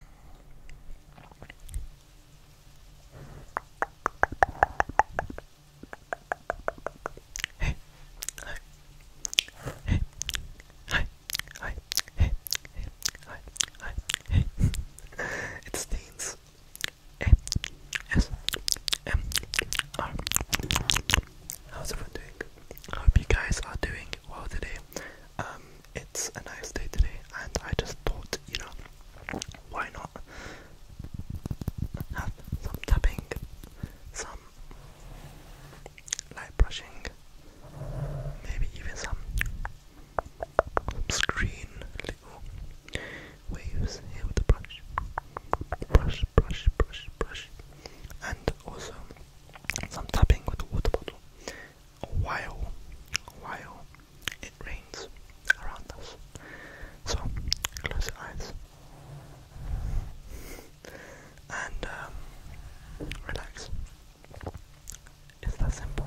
Hey, hi, hey, hi, hi, hey, hey, hi, hi, hey. It stains. A S M R. How's everyone doing? I hope you guys are doing well today. Um, it's a nice day today, and I just thought, you know, why not have some tapping, some light brushing, maybe even some screen little waves here with the brush, brush, brush, brush, brush, and also some tapping with the water bottle while while it rains around us. So close your eyes and um, relax. It's that simple.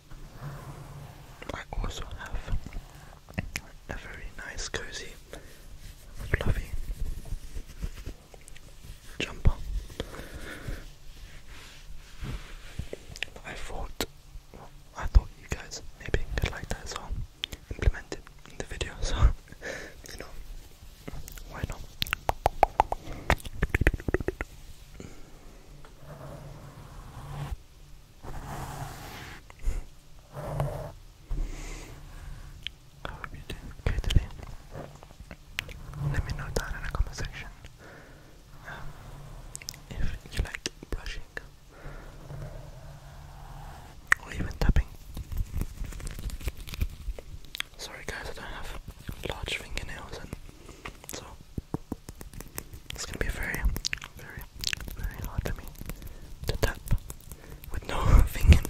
I also have a very nice, cozy, fluffy jumper. I thought, I thought you guys maybe could like that, so implement it in the video. So you know, why not? I hope you did Let me know down in the comment section um, if you like brushing or even tapping. Sorry guys, I don't have large fingernails and so it's gonna be very, very, very hard for me to tap with no fingernails.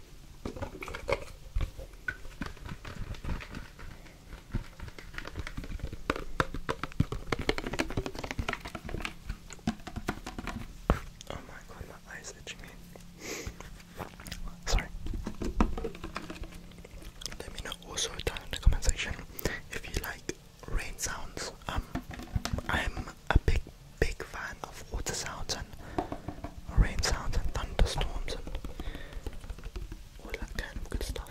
Oh my god, my eyes itching me. Sorry. Let me know also down in the comment section if you like rain sounds. Um, I'm a big, big fan of water sounds and rain sounds and thunderstorms and all that kind of good stuff.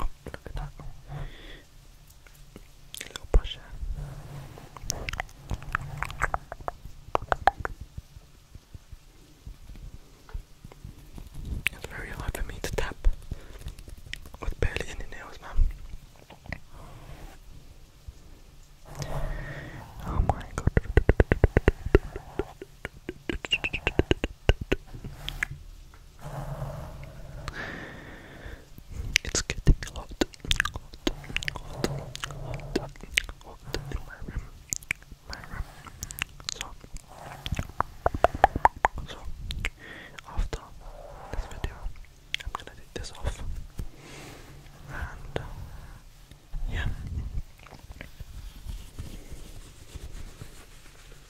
Oh, look at that. A little brush It's very hard for me to tap with barely any nails, man. Oh my god. It's getting hot, hot, hot, hot, hot in my room, my room. So, so after this video, I'm gonna take this off, and yeah.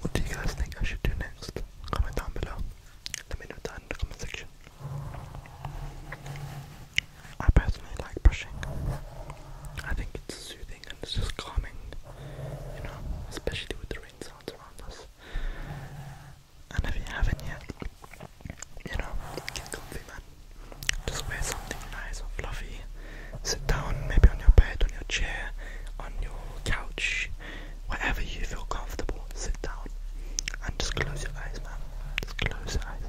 What do you guys think I should do next? Comment down below. Let me know down in the comment section. I personally like brushing. I think it's soothing and it's just calming, you know, especially with the rain sounds around us. And if you haven't yet, you know, get comfy, man. Just wear something nice or fluffy. Sit down, maybe on your bed, on your chair, on your couch, wherever you feel comfortable. Sit down and just close your eyes, man. Just close your eyes.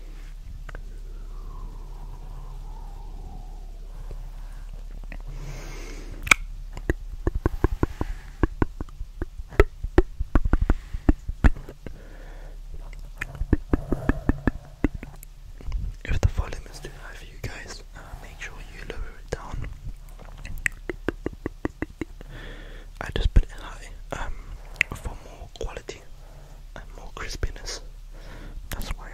If the volume is too high for you guys, uh, make sure you lower it down. I just put it high um, for more quality and more crispiness. That's why.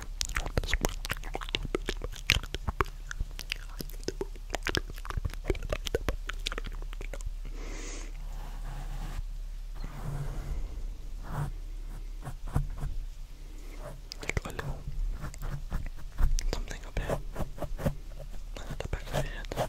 something up here, at back of the head.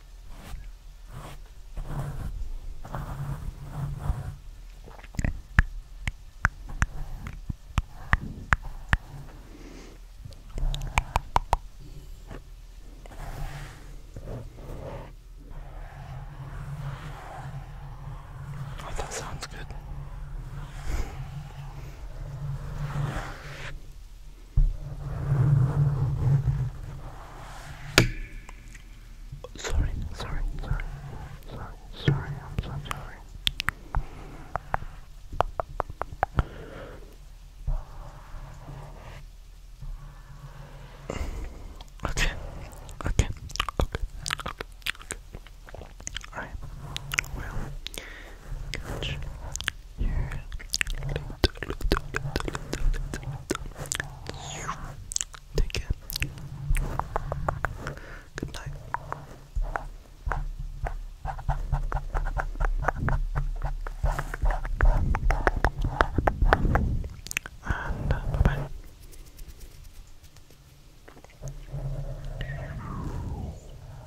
Oh, that sounds good. Sorry, sorry, sorry, sorry, sorry, I'm so sorry. Okay, okay, okay, okay. Alright, well, Catch your little, little, little, little. Take care. Good night. And bye bye.